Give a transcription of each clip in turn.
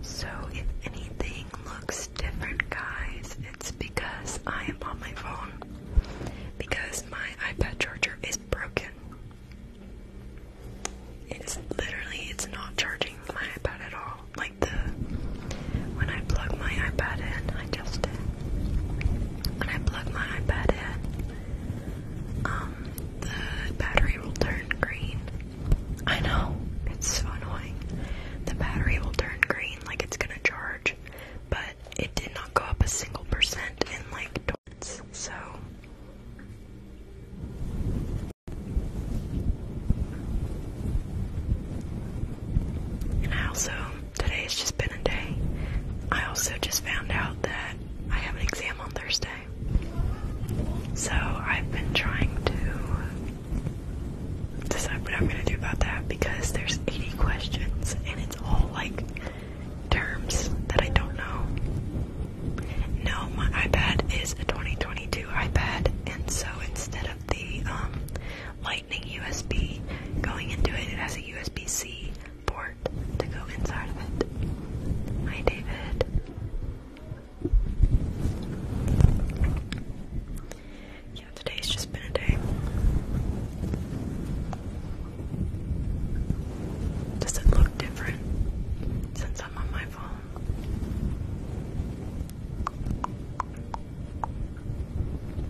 So, if anything looks different, guys, it's because I am on my phone. Because my iPad charger is broken. It's literally, it's not charging my iPad at all. Like the, when I plug my iPad in, I just did when I plug my iPad in, um, the battery will turn green. I know, it's so annoying. The battery will turn green like it's gonna charge, but it did not go up a single percent in like twice, so. I also Today has just been a day. I also just found out that I have an exam on Thursday. So I've been trying to decide what I'm going to do about that because there's 80 questions and it's all like terms that I don't know. No, my iPad is a 2022 iPad and so instead of the um, like lightning USB going into it. It has a USB-C port to go inside of it. Hi, David. Yeah, today's just been a day. Does it look different since I'm on my phone?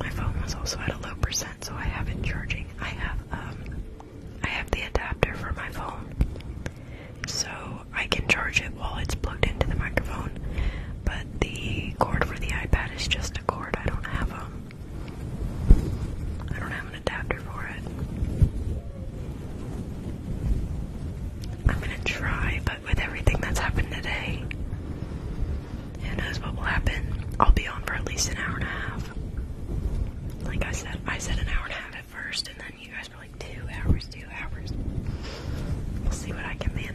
My phone was also at a low percent so I have it charging. I have um, I have the adapter for my phone, so I can charge it while it's plugged into the microphone. But the cord for the iPad is just a cord. I don't have um, I don't have an adapter for it. I'm gonna try, but with everything that's happened today, who knows what will happen? I'll be on for at least an hour and a half. Like I said, I said an hour and a half at first, and then you guys were like, two hours, two hours. We'll see what I can manage.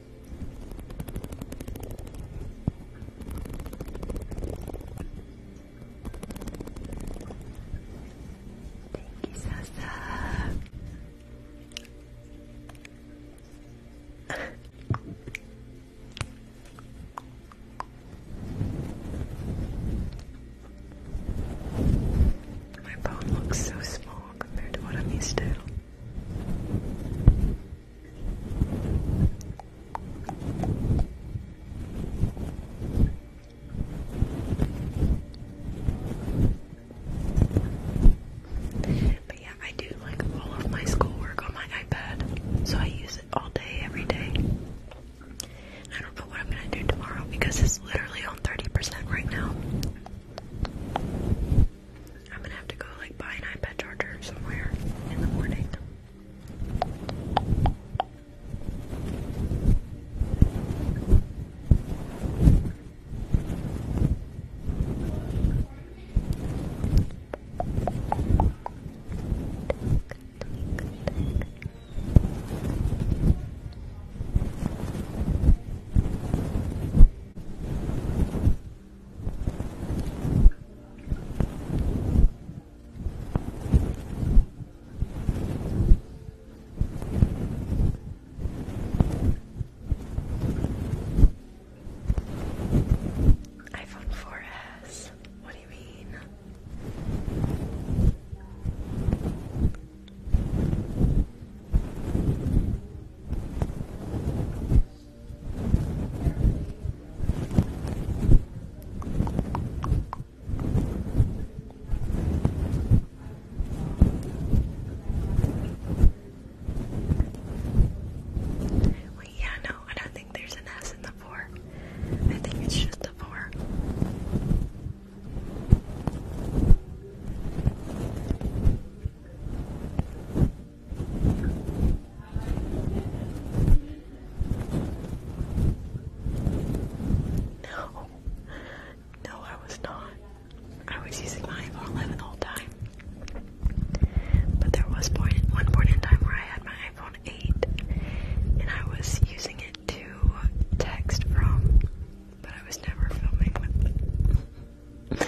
Thank you, Sasa. My phone looks so small compared to what I'm used to. But yeah, I do like all of my schoolwork on my iPad, so I use it all day, every day. I don't know what I'm gonna do tomorrow because it's literally on 30% right now. I'm gonna have to go like buy an iPad charger somewhere in the morning iPhone 4S. What do you mean? yeah, no, I don't think there's an S in the four. I think it's just the four. No. I was not. I was using my iPhone 11 all the time. But there was one point in time where I had my iPhone 8 and I was using it to text from, but I was never filming with the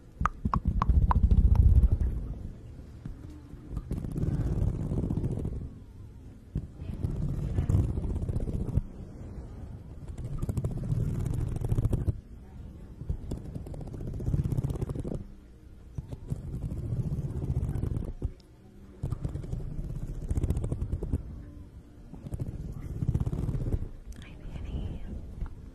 Hi, Annie.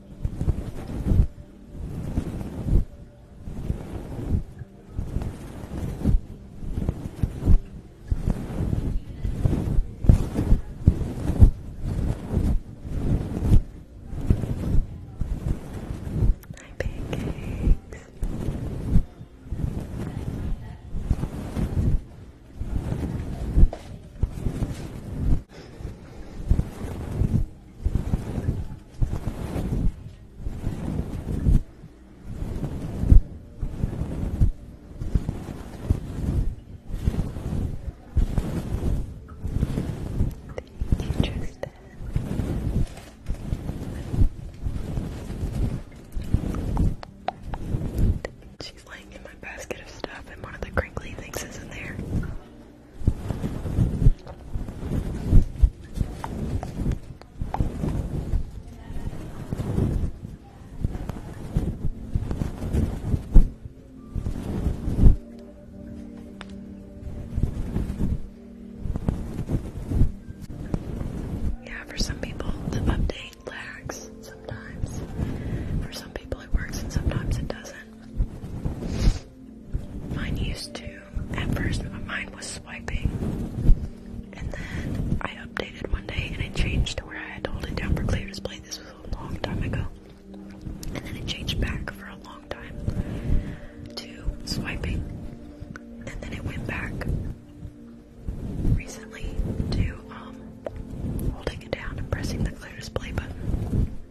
Hi, pancakes. She's laying in my basket of stuff, and one of the crinkly things is in there. Yeah, for some people, the update lags sometimes. For some people, it works, and sometimes it doesn't. Mine used to, at first mine was swiping, and then I updated one day and it changed to where I had to hold it down for clear display. This was a long time ago. And then it changed back for a long time to swiping. And then it went back recently to um, holding it down and pressing the clear display button.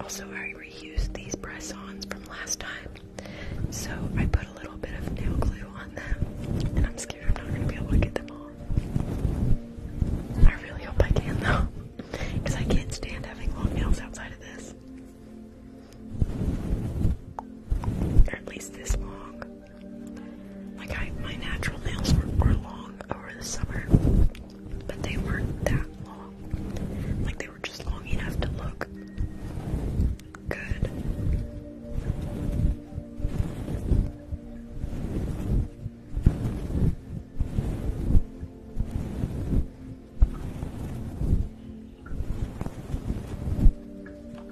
Also, I reused these press ons from last time, so I put a little bit of nail glue on them, and I'm scared I'm not gonna be able to get them all. I really hope I can though, because I can't stand having long nails outside of this, or at least this long. Like I, my natural nails were, were long over the summer, but they weren't that long. Like they were just long enough to look good.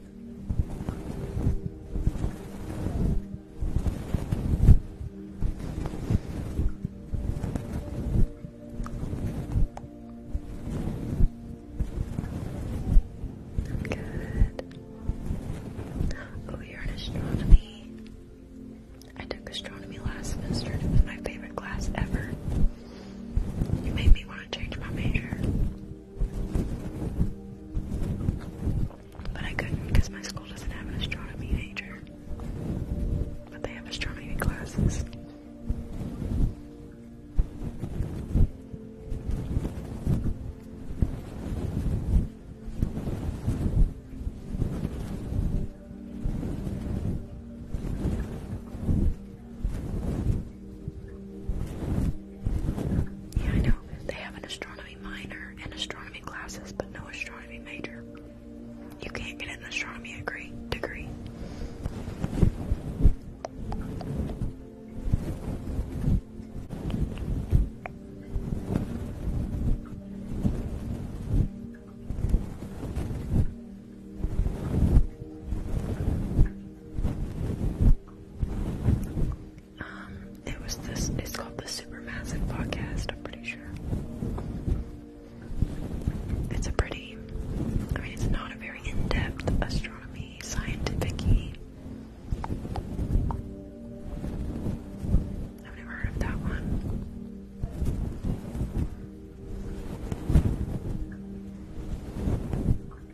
Good. Oh, you're in astronomy. I took astronomy last semester it was my favorite class ever. You made me want to change my major. But I couldn't because my school doesn't have an astronomy major. But they have astronomy classes. Yeah, I know. They have an astronomy minor and astronomy classes, but no astronomy major. You can't get an astronomy degree. degree. Um, it was this. It's called the Supermassive Podcast. I'm pretty sure. It's a pretty. I mean, it's not a very in-depth astronomy, scientific-y. I've never heard of that one.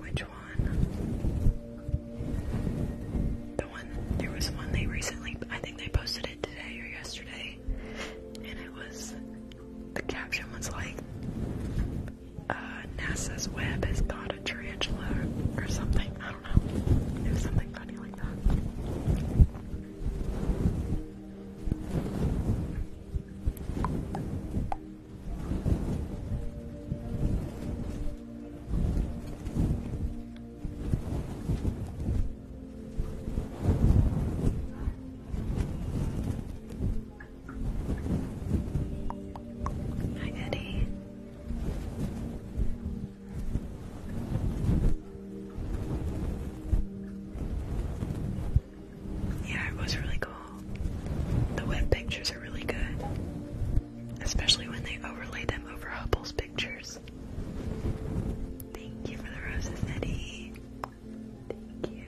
Which one? The one, there was one they recently, I think they posted it today or yesterday, and it was, the caption was like, uh, NASA's web has got a tarantula or something, I don't know, it was something funny like that. Hi, Eddie. Yeah, it was really cool. The web pictures are really good, especially when they overlay them over Hubble's pictures. Thank you for the roses, Eddie. Thank you.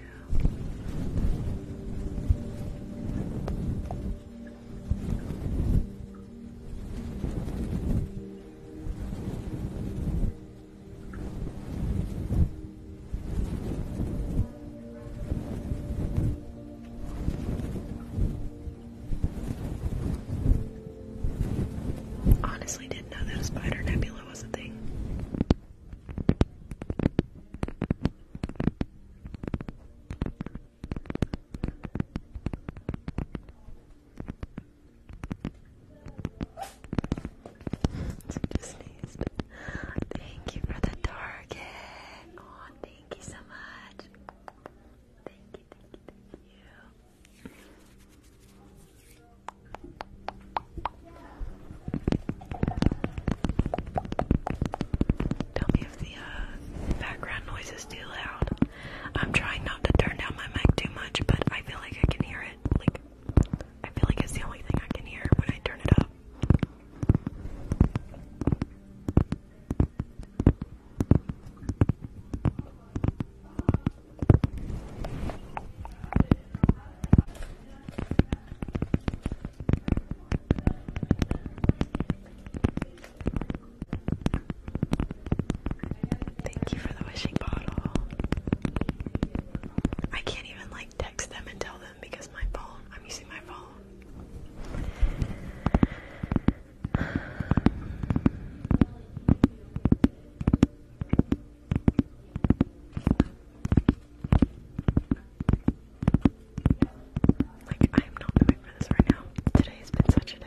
Honestly, didn't know that a spider nebula was a thing. so just Thank you for the target. Oh, thank you so much. Thank you, thank you, thank you. Tell me if the uh, background noise is too loud. I'm trying not to turn down my mic too much, but I feel like I can hear it. Like I feel like it's the only thing I can hear when I turn it up. Thank you for the wishing bottle. I can't even like text them and tell them because my phone, I'm using my phone. Like, I am not moving for this right now. Today has been such a day.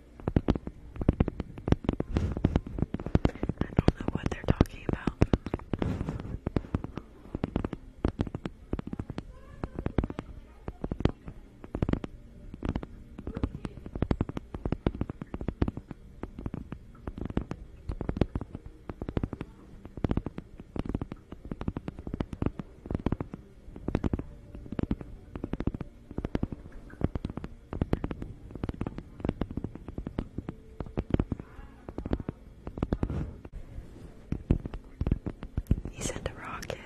I don't know what they're talking about. He sent a rocket.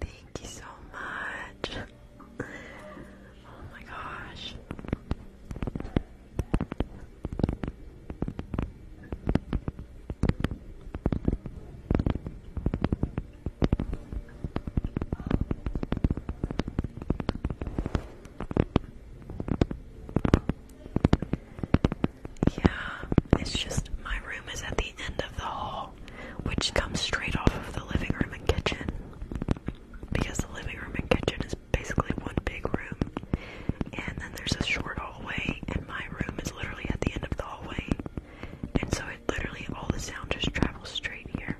Thank you so much. Oh my gosh. Yeah, it's just my room is at the end of the hall, which comes straight off of the living room and kitchen. Because the living room and kitchen is basically one big room, and then there's a short hallway, and my room is literally at the end of the hallway. And so literally all the sound just travels straight here.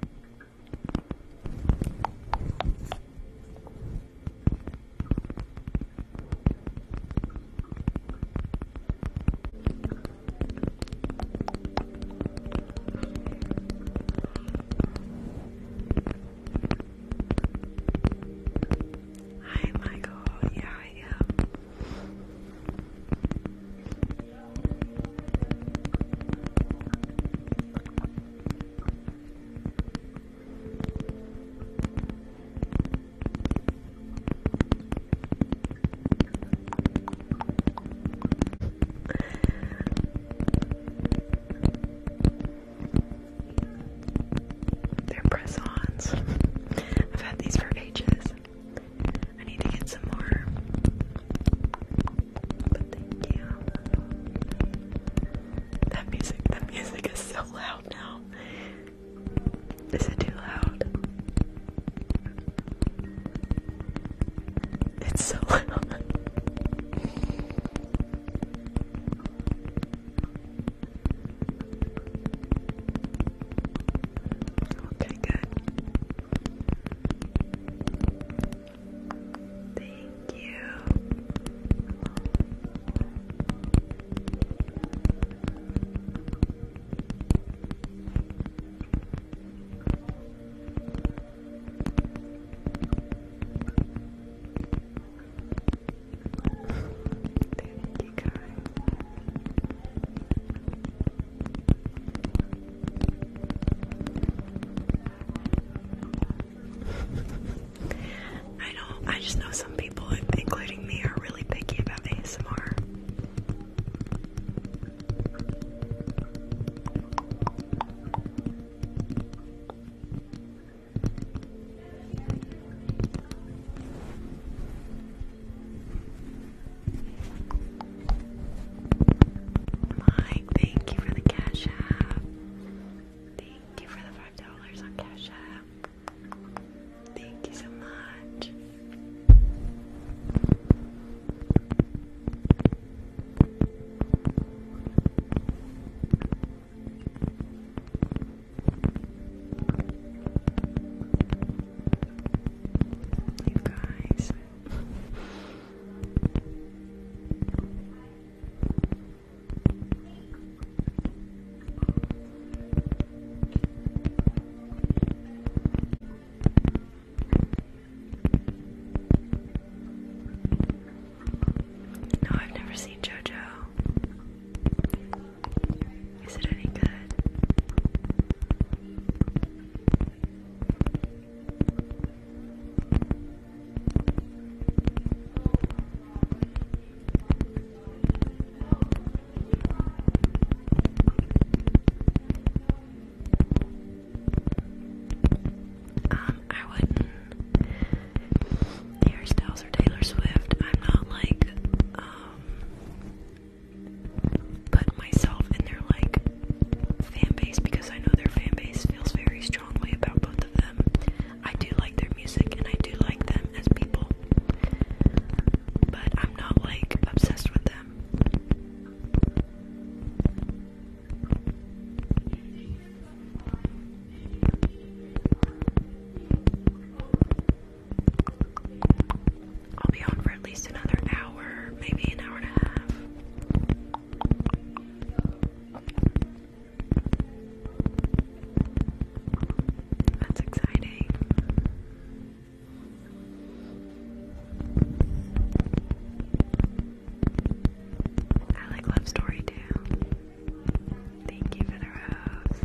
Hi Michael, yeah I they're press-ons. I've had these for ages. I need to get some more. That music, that music is so loud now. Is it too loud? It's so loud. Okay, good. Thank you. Thank I do I just know some people, including me, are really picky about ASMR. Mike, thank you for the cash app. Thank you for the five dollars on cash app. Thank you so much. No, I've never seen JoJo. Is it any good? Um, I would Hairstyles or Taylor Swift. I'm not like, um, put myself in their like fan because I know their fan feels very strongly about both of them. I do like their music and I do like them as people. But I'm not like obsessed with them. I'll be on for at least another hour, maybe an hour and a half. That's exciting. I like Love Story too. Thank you for the rose.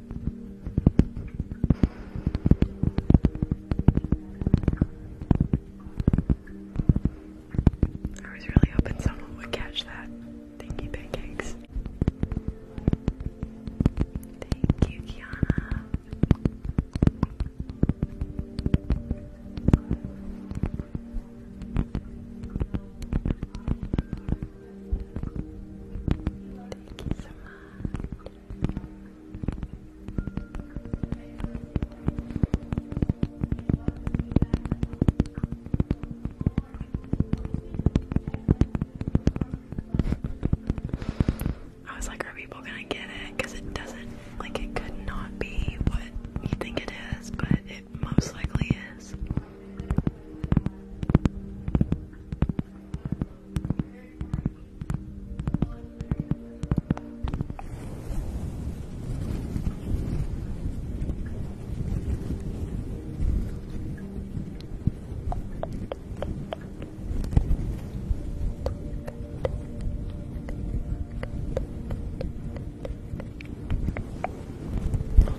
I was really hoping someone would catch that. Thank you, pancakes. Thank you, Kiana. Thank you I was like, are people gonna get it? Because it doesn't, like, it could not be what you think it is, but it most likely is.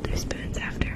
Hold your spoons after.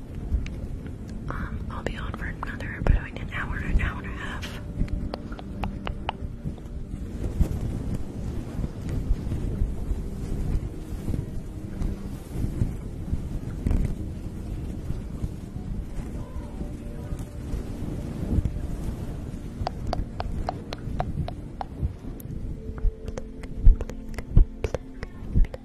I'll be on for another about an hour, an hour and a half.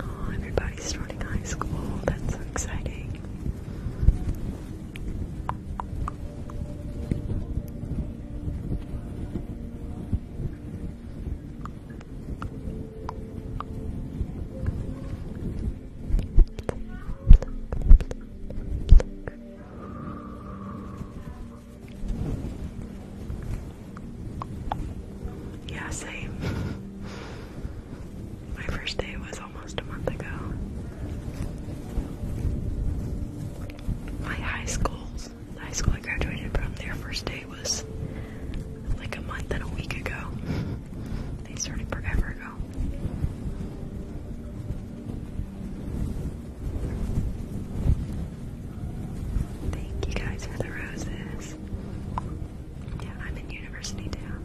Oh, everybody's starting high school. That's so exciting. Yeah, same. My first day was almost a month ago. My high school's high school I graduated from, their first day was like a month and a week ago. They started forever ago. Thank you guys for the roses. Yeah, I'm in university town.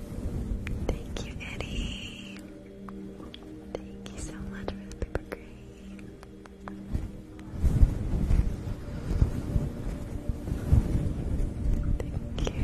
Thank you, Eddie. Thank you so much for the paper crane. Thank you.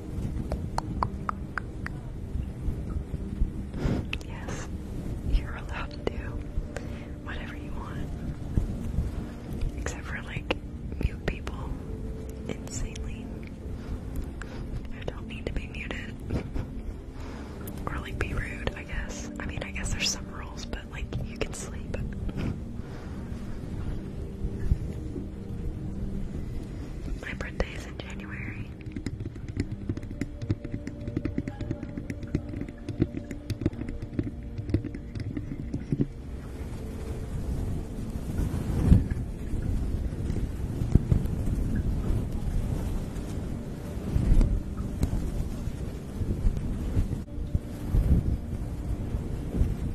Yes, you're allowed to do whatever you want. Except for like mute people. Insanely. I don't need to be muted. or like be rude, I guess. I mean I guess there's some rules, but like you can sleep. My birthday is in January.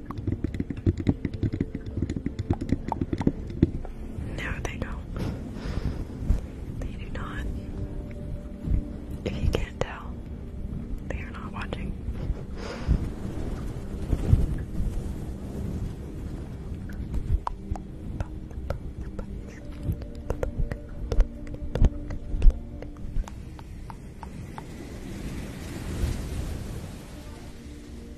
No, they don't. They do not. If you can't tell, they are not watching.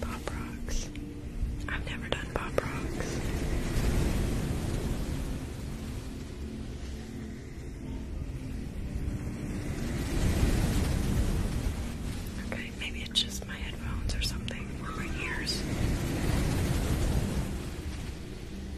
Pop rocks. I've never done pop rocks. Okay, maybe it's just my headphones or something, or my ears.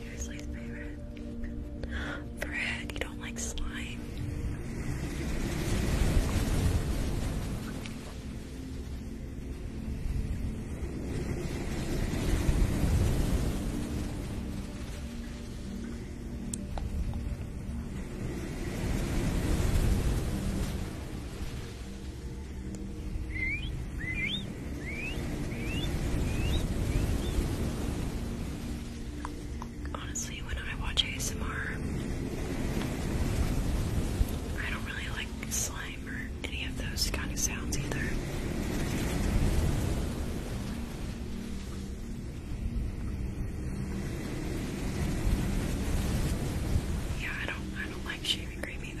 Here's my favorite. Fred, you don't like slime. Honestly, when I watch ASMR, I don't really like slime or any of those kind of sounds either. Yeah, I don't I don't like like shaving cream either.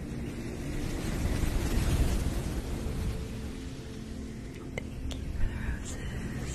Thank you for the roses. Thank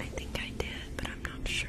I think I did, but I'm not sure.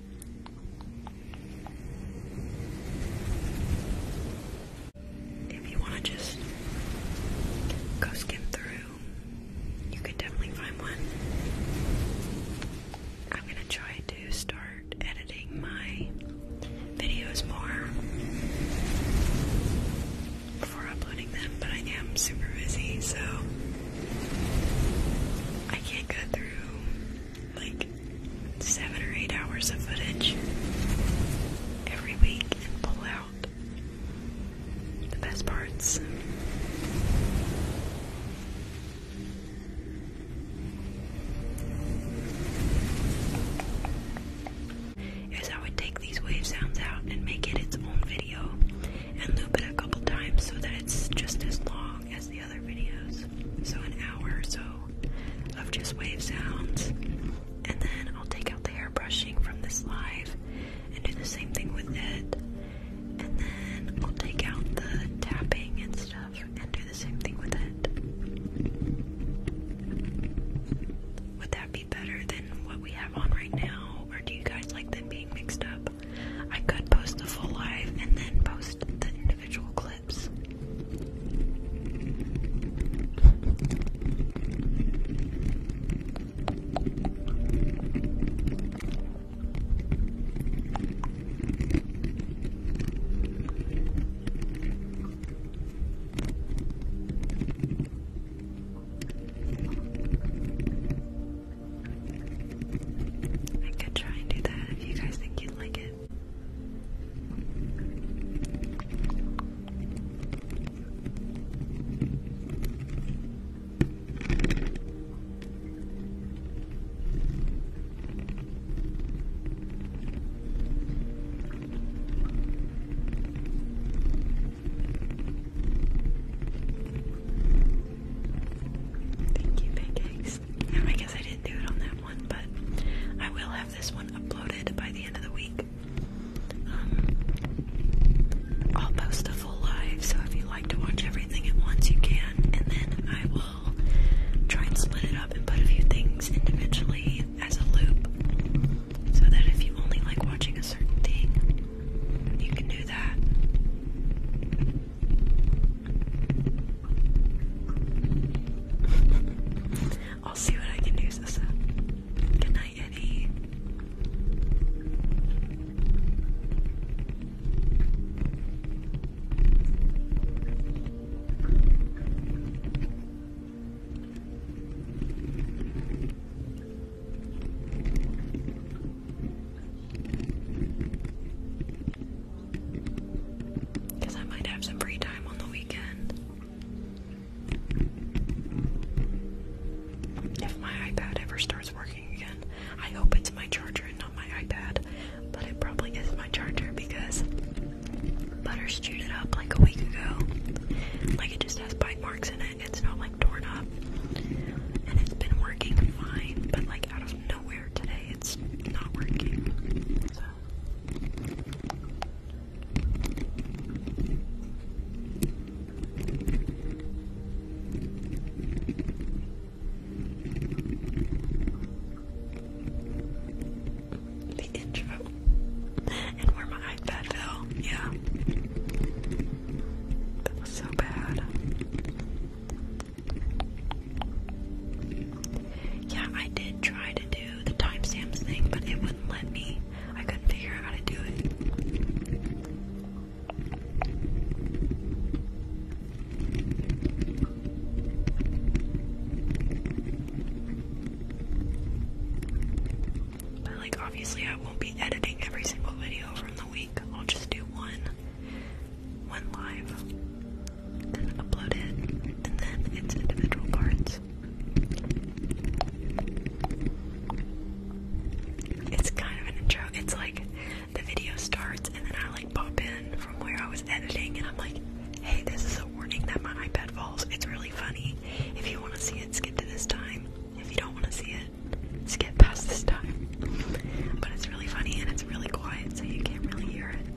If you want to just go skim through, you could definitely find one. I'm going to try to start editing my videos more before uploading them, but I am super busy, so I can't go through like seven or eight hours of footage every week pull out the best parts. Is I would take these wave sounds out and make it its own video and loop it a couple times so that it's just as long as the other videos. So, an hour or so of just wave sounds. And then I'll take out the hair brushing from this live and do the same thing with it. And then I'll take out the tapping and stuff and do the same thing with it. Would that be better than what we have on right now? Or do you guys like them being mixed up? I could post the full live and then post the individual clips. I could try and do that if you guys think you'd like it. Thank you, big eggs. Um, I guess I didn't do it on that one, but I will have this one uploaded by the end of the week. Um, I'll post a full live, so if you like to watch everything at once, you can, and then I will try and split it up and put a few things individually as a loop, so that if you only like watching a certain thing, you can do that. I'll see what I can do, Sissa. Good night, because I might have some free time on the weekend. If my iPad ever starts working again, I hope it's my charger and not my iPad. But it probably is my charger because Butters chewed it up like a week ago. Like it just has bite marks in it. It's not like torn up. And it's been working fine, but like out of nowhere today it's not working. The intro and where my iPad fell. Yeah, that was so bad. Yeah, I did try to do the timestamps thing, but it wouldn't let me. I couldn't figure out how to do it. But, like, obviously, I won't be editing every single video from the week, I'll just do one went live and uploaded, and then its individual parts. It's kind of an intro. It's like the video starts, and then I like pop in from where I was editing, and I'm like, hey, this is a warning that my iPad falls. It's really funny. If you want to see it, skip to this time. If you don't want to see it, skip past this time. But it's really funny and it's really quiet, so you can't really hear it yeah,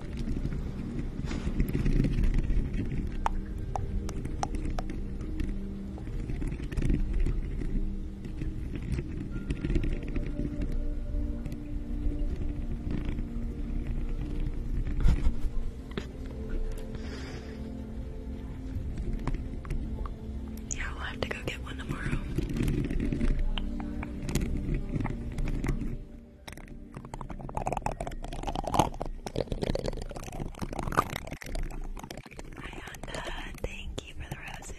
we'll have to go get one tomorrow. Ayanda, thank you for the roses.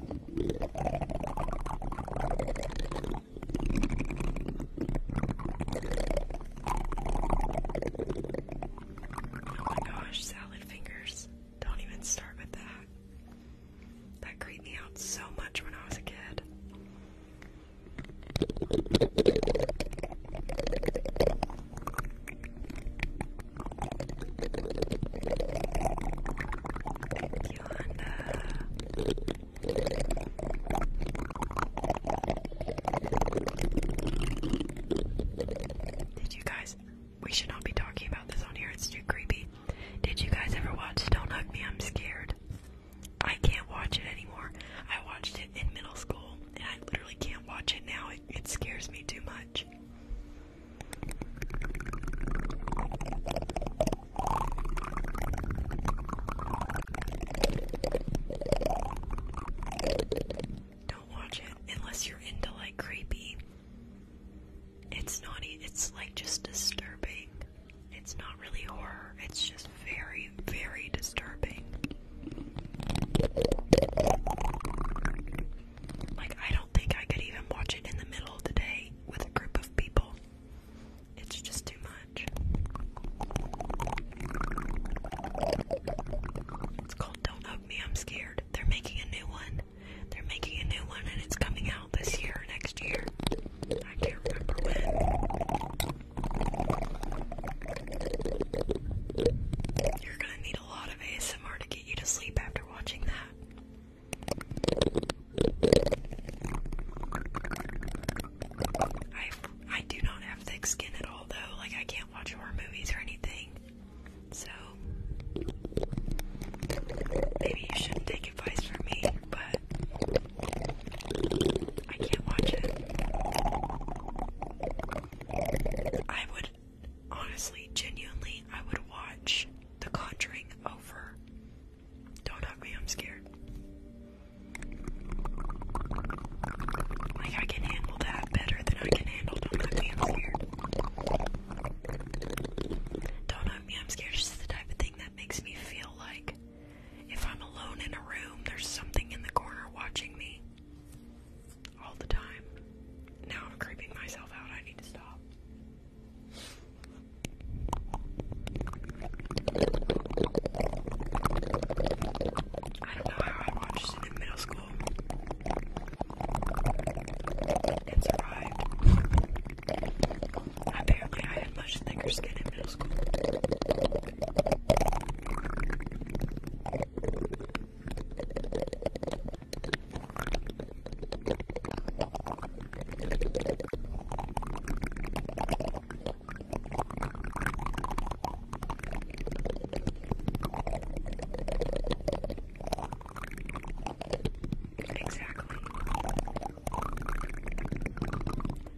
Oh my gosh, salad fingers. Don't even start with that. That creeped me out so much when I was a kid. Did you guys? We should not be talking about this on here. It's too creepy. Did you guys ever watch Don't Hug Me? I'm Scared. I can't watch it anymore. I watched it in middle school, and I literally can't watch it now. It, it scares me too much. Don't watch it unless you're into like creepy. It's naughty. it's like just disturbing. It's not really horror, it's just very, very disturbing. Like, I don't think I could even watch it in the middle of the day with a group of people. It's just too much. It's called Don't Hug Me, I'm Scared. They're making a new one. They're making a new one and it's coming out this year or next year. I can't remember when. You're gonna need a lot of ASMR to get you to sleep after watching that. I I do not have thick skin at all though. Like I can't watch horror movies or anything. So maybe you shouldn't take advice from me, but I can't watch it. I would honestly, genuinely, I would watch The Conjuring over. Don't hug me, I'm scared. Like, I can handle that better than I can handle Don't Hug Me, I'm Scared. Don't Hug Me, I'm Scared is the type of thing that makes me feel like if I'm alone in a room, there's something in the corner watching me all the time. Now I'm creeping myself out, I need to stop. I don't know how I watched it in middle school and survived. Apparently, I had much thicker skin in middle school. Exactly.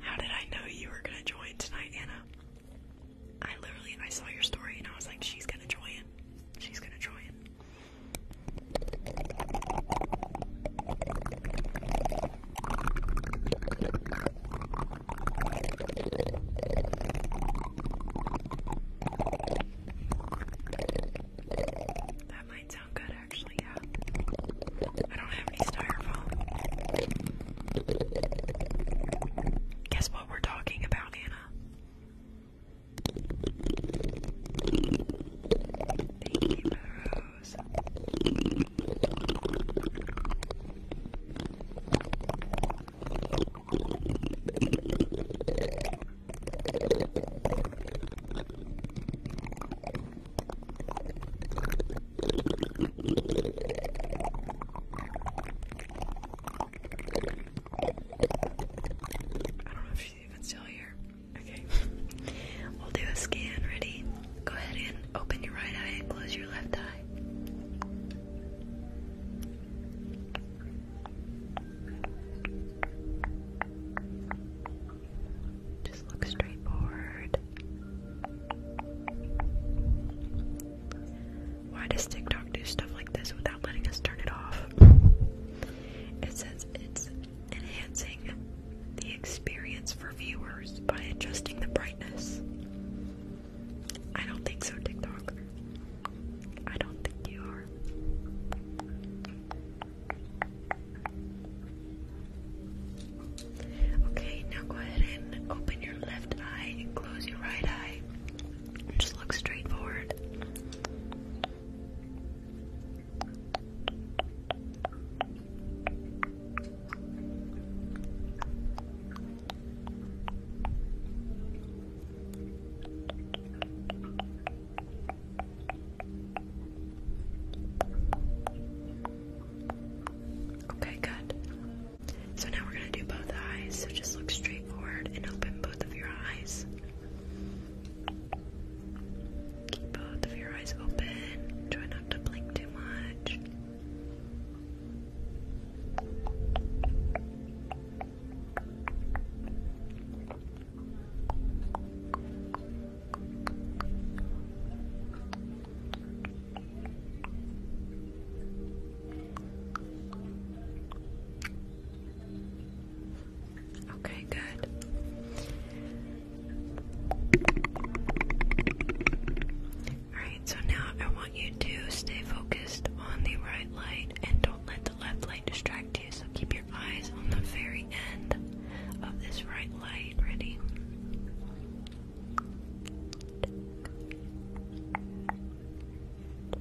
How did I know you were gonna join tonight, Anna? I literally I saw your story and I was like, she's gonna join. She's gonna join. That might sound good actually, yeah. I don't have any styrofoam. Guess what we're talking about, Anna? Thank you, Rose. I don't know if she's even still here. Okay. We'll do a scan. Ready? Go ahead and open your right eye and close your left eye. Just look straight forward. Why does TikTok do stuff like this without letting us turn it off? It says it's enhancing the experience for viewers by adjusting the brightness. I don't think so, TikTok. I don't think you are. Okay, now go ahead and open your left eye and close your right eye. Just look straight forward. Okay, good. So now we're going to do both eyes. So just look straight forward and open both of your eyes. Keep both of your eyes open. Try not to blink too much. Okay, good. Alright, so now I want you to stay focused on the right light and don't let the left light distract you. So keep your eyes on the very end of this right light. Ready?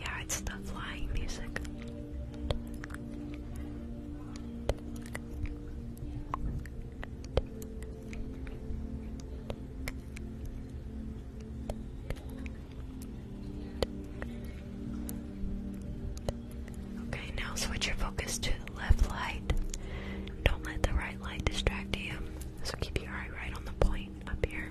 Yeah, it's the flying music. Okay, now switch your focus to the left light. Don't let the right light distract you. So keep your eye right on the point up here.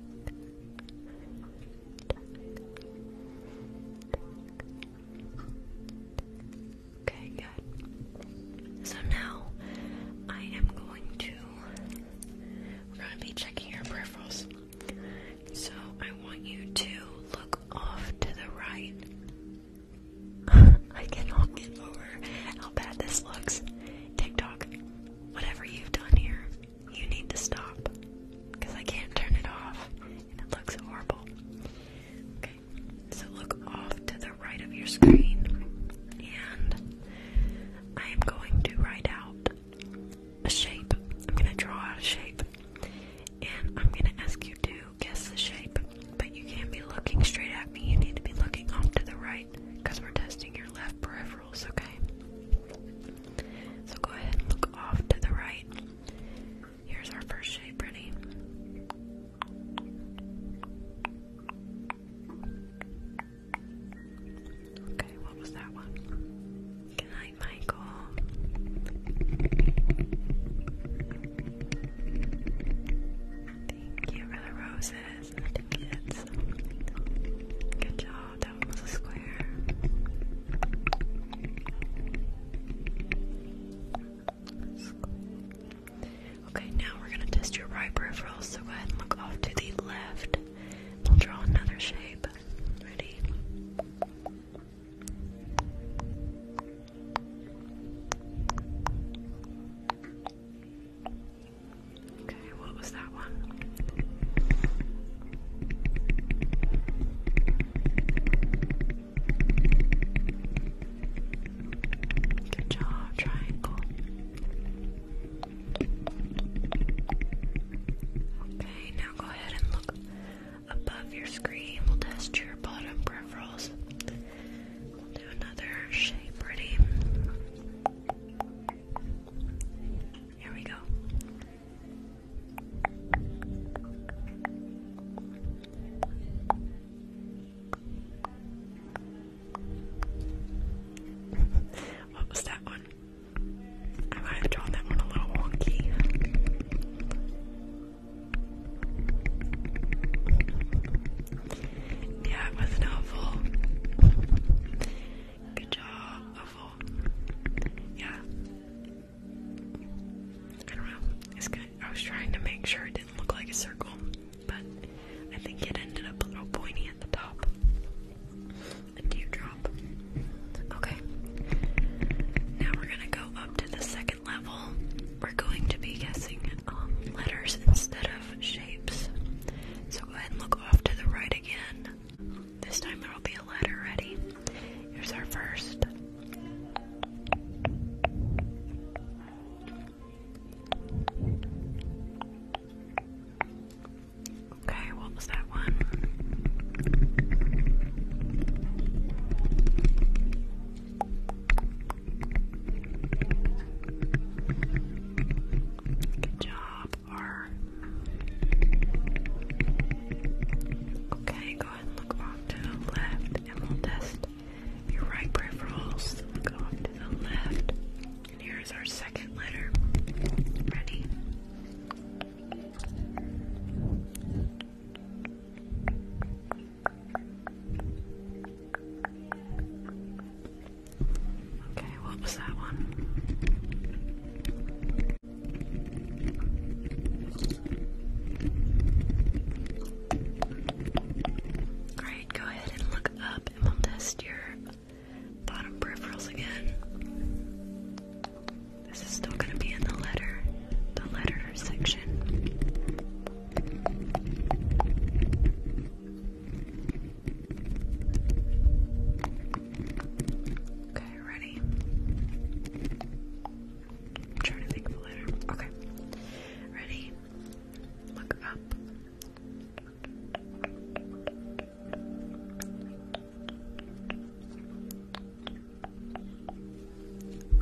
Okay, good. So now I am going to we're going to be checking your peripherals. So I want you to look off to the right. I cannot get over how bad this looks. TikTok whatever you've done here, you need to stop. Because I can't turn it off, and it looks horrible. Okay, so look off to the right of your screen, and I am going to write out a shape. I'm going to draw out a shape, and I'm going to ask you to guess the shape, but you can't be looking straight at me. You need to be looking off to the right because we're testing your left peripheral rules, okay? So go ahead and look off to the right. Here's our first shape, ready? Okay, what was that one? Good Michael. Thank you for the roses that Good job, that one was a square. Okay, now we're gonna test your right peripheral, so go ahead and look off to the left. We'll draw another shape. Ready? Okay, what was that one? Good job, triangle. Okay, now go ahead and look above your screen. We'll test your bottom peripherals. We'll do another shape, ready? Here we go. what was that one? I might have drawn that one a little wonky. Yeah, it was an awful. Good job. A Yeah. I don't know. It's good. I was trying to make sure it didn't look like a circle, but I think it ended up a little pointy at the top. A teardrop. Okay. Now we're gonna go up to the second level. We're going to be guessing um, letters instead of shapes. So go ahead and look off to the right again. This time there will be a letter ready. Here's our first. Okay, what was that one? Good job. Okay, go ahead and look off to the left, and we'll test your right peripherals. Look off to the left, and here's our second letter. Ready? Okay, what was that one? Alright, go ahead and look up and we'll test your bottom peripherals again. This is still going to be in the letter, the letter section. Okay, ready? I'm trying to think of a letter. Okay. Ready? Look up.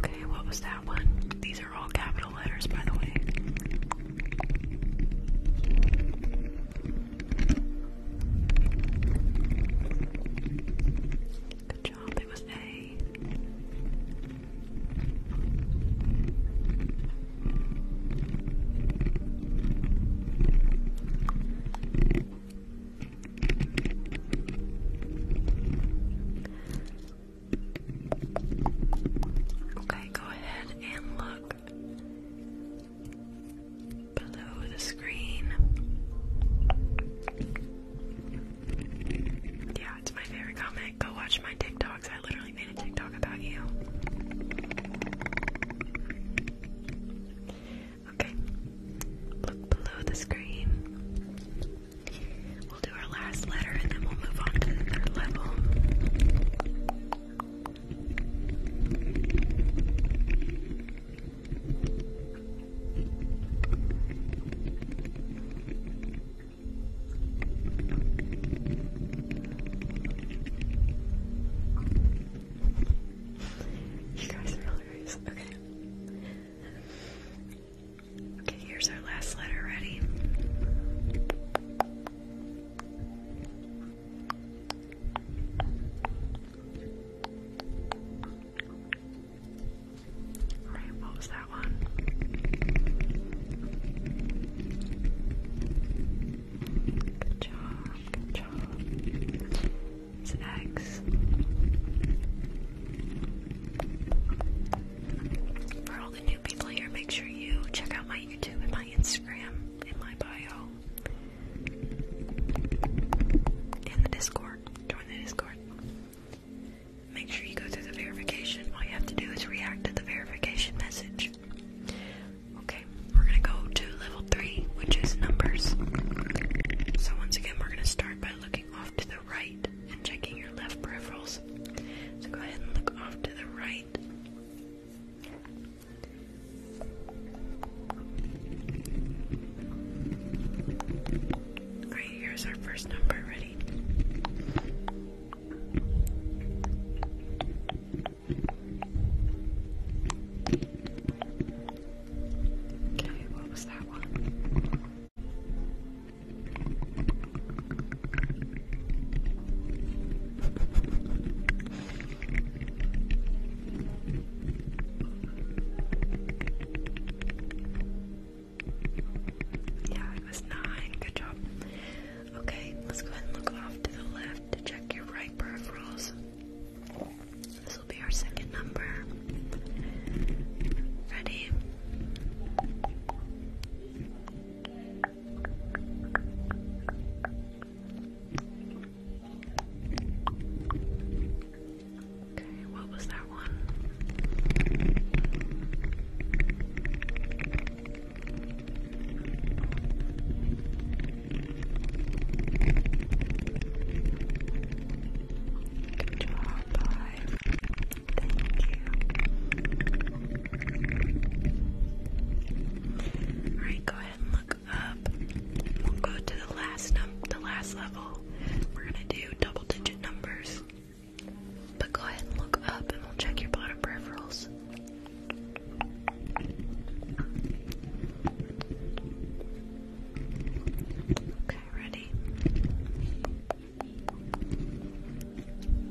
Okay, what was that one? These are all capital letters, by the way. Good job, it was A. Okay, go ahead and look below the screen. Yeah, it's my favorite comic. Go watch my TikToks. I literally made a TikTok about you. Okay, look below the screen. We'll do our last letter and then we'll move on to the third level. You guys are hilarious. Okay. Okay, here's our last letter ready. Alright, what was that one? Good job, good job. It's eggs. For all the new people here, make sure you check out my YouTube and my Instagram in my bio in the Discord. Join the Discord. Make sure you go through the verification. All you have to do is react to the verification message. Okay, we're gonna go to level three, which is numbers. So once again, we're gonna start by looking off to the right and checking your left peripherals. So go ahead and look off to the right. Alright, here's our first number ready. Okay, what was that one? Yeah, it was nine. Good job. Okay, let's go ahead and look off to the left to check your right peripherals. This will be our second number. Ready? Okay, what was that one? Good Thank you. Alright, go ahead up we'll go to the last num the last level. We're gonna do double digit numbers. But go ahead and look up and we'll check your bottom peripherals. Okay, ready?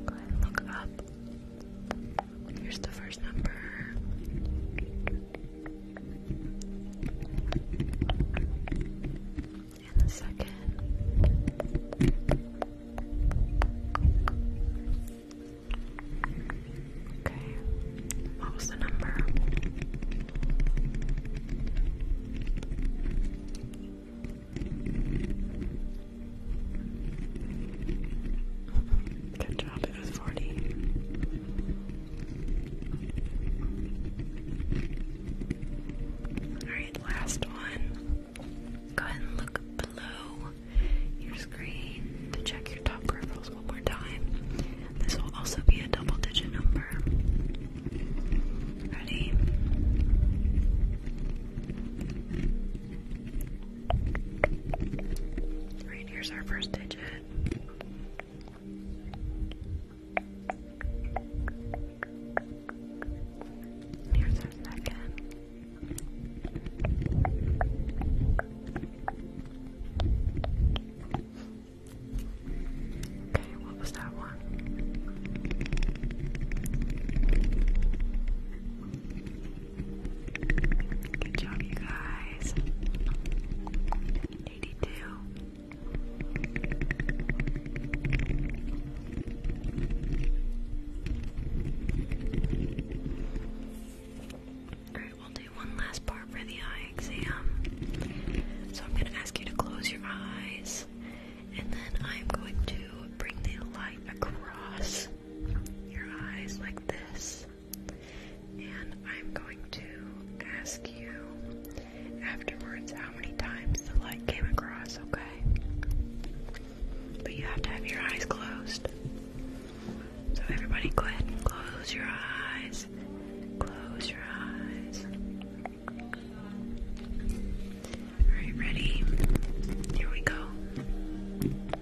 Go ahead and look up. Here's the first number. And the second. Okay. What was the number? Good job, Alright, last one. Go ahead and look below your screen to check your top peripherals one more time. This will also be a double digit number. Ready? Right here's our first digit. Here's our second. Okay, what was that one? Good job, you guys. 82. Alright, we'll do one last part for the eye exam. So I'm going to ask you to close your eyes, and then I'm going to bring the light across your eyes like this. And I'm going to ask you afterwards how many times the light came across, okay? But you have to have your eyes closed. So, everybody, go ahead and close your eyes. Close your eyes. Alright, ready? Here we go.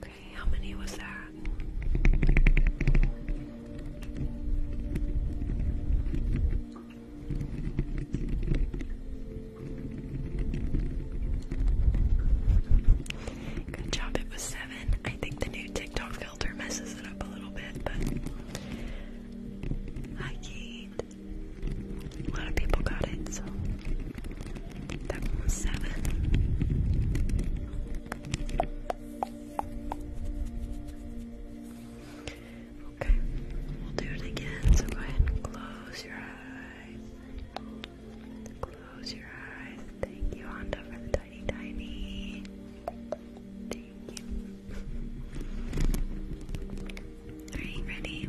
Okay, how many was that? Good job, it was seven. I think the new TikTok filter messes it up a little bit, but I can't. A lot of people got it, so that was seven. Okay, we'll do it again. So go ahead and close your eyes. Close your eyes. Thank you, Honda, for the tiny, tiny. Thank you. Are you ready?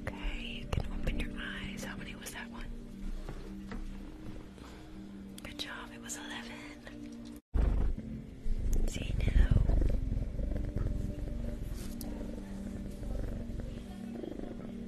Okay, you can open your eyes. How many was that one? Good job, it was 11. See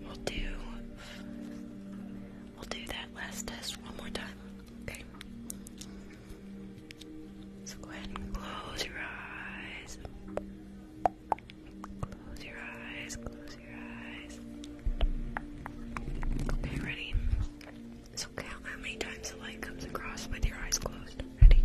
We'll do we'll do that last test one more time. Okay. So go ahead and close your eyes. Close your eyes, close your eyes. Okay, ready? So count how many times the light comes across with your eyes closed. Ready?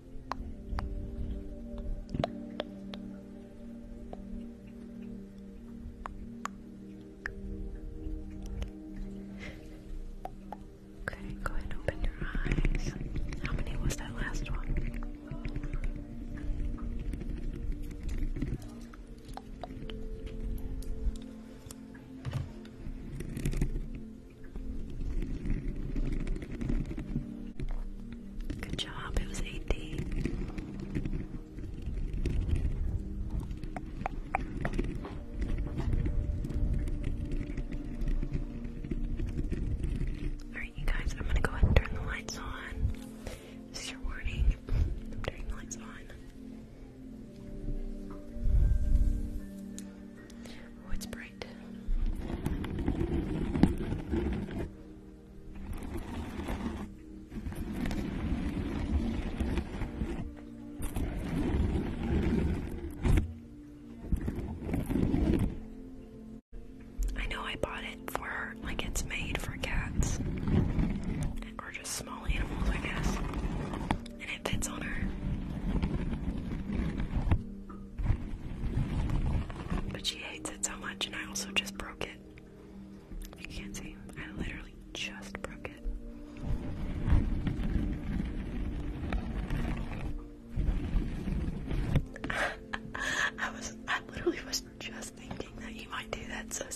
Okay, go ahead and open your eyes. How many was that last one? Good job, it was 80. Alright, you guys, I'm gonna go ahead and turn the lights on. This is your warning. I'm turning the lights on. Oh, it's bright. I know I bought it for her, like it's made for cats. Or just small animals, I guess. And it fits on her. But she hates it so much, and I also just broke it. You can't see. I literally just broke it. I was, I literally was just thinking that you might do that, so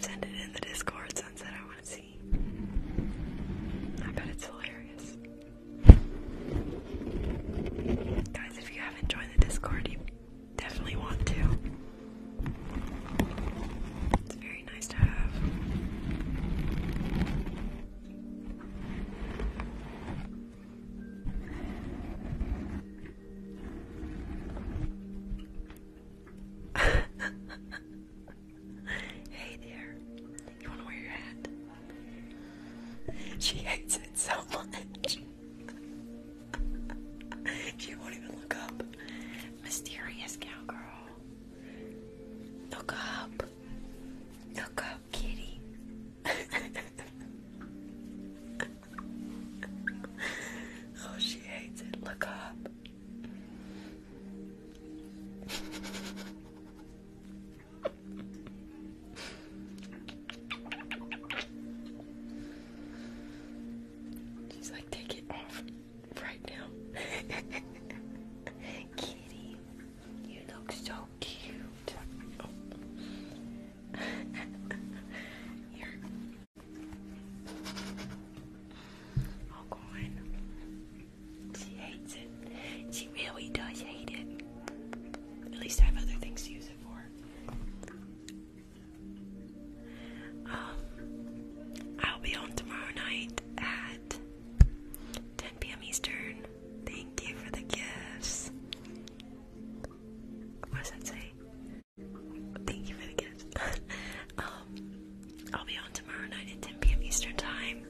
Send it in the Discord, Sunset see. I bet it's hilarious. Guys, if you haven't joined the Discord, you definitely want to. It's very nice to have. hey there. You want to wear your hat? She hates it so much. she won't even look up. Mysterious cowgirl. Look up. Look up, kitty. oh, she hates it. Look up. She's like, take it off right now. Kitty, you look so cute. Oh, corn. She hates it. She really does hate it. At least I have other things to use it for. Um, I'll be on tomorrow night at 10 p.m. Eastern. Thank you for the gifts. What that say? Thank you for the gift. Um, I'll be on tomorrow night at 10 p.m. Eastern Time.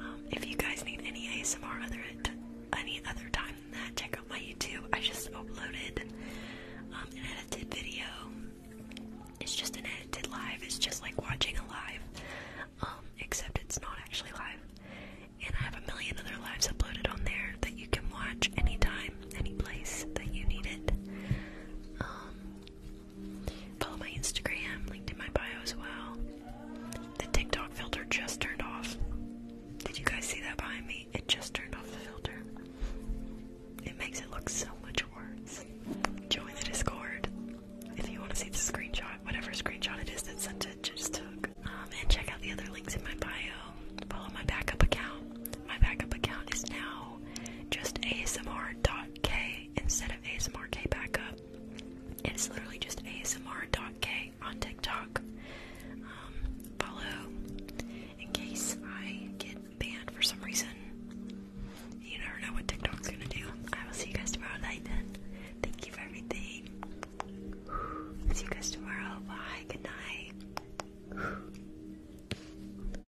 Um, if you guys need any ASMR other any other time than that, check out my YouTube. I just uploaded um, an edited video. It's just an edited live. It's just like watching a live, except it's not actually live. And I have a million other lives uploaded on there that you can watch anytime, any place that you need it. Follow my Instagram, linked in my bio as well. The TikTok filter just turned off. Did you guys see that behind me? It just turned off the filter. It makes it look so much worse. Join the Discord if you want to see the screenshot, whatever screenshot it is that sent it just took. Um, and check out the other links in my bio. Follow my backup account. My backup account is now channel, just ASMR.k instead of ASMR.k backup. It's literally just ASMR.k on TikTok. Um, follow in case I get banned for some reason. You never know what TikTok's gonna do. I will see you guys tomorrow night then. Thank you for everything. See you guys tomorrow. Bye. Good night.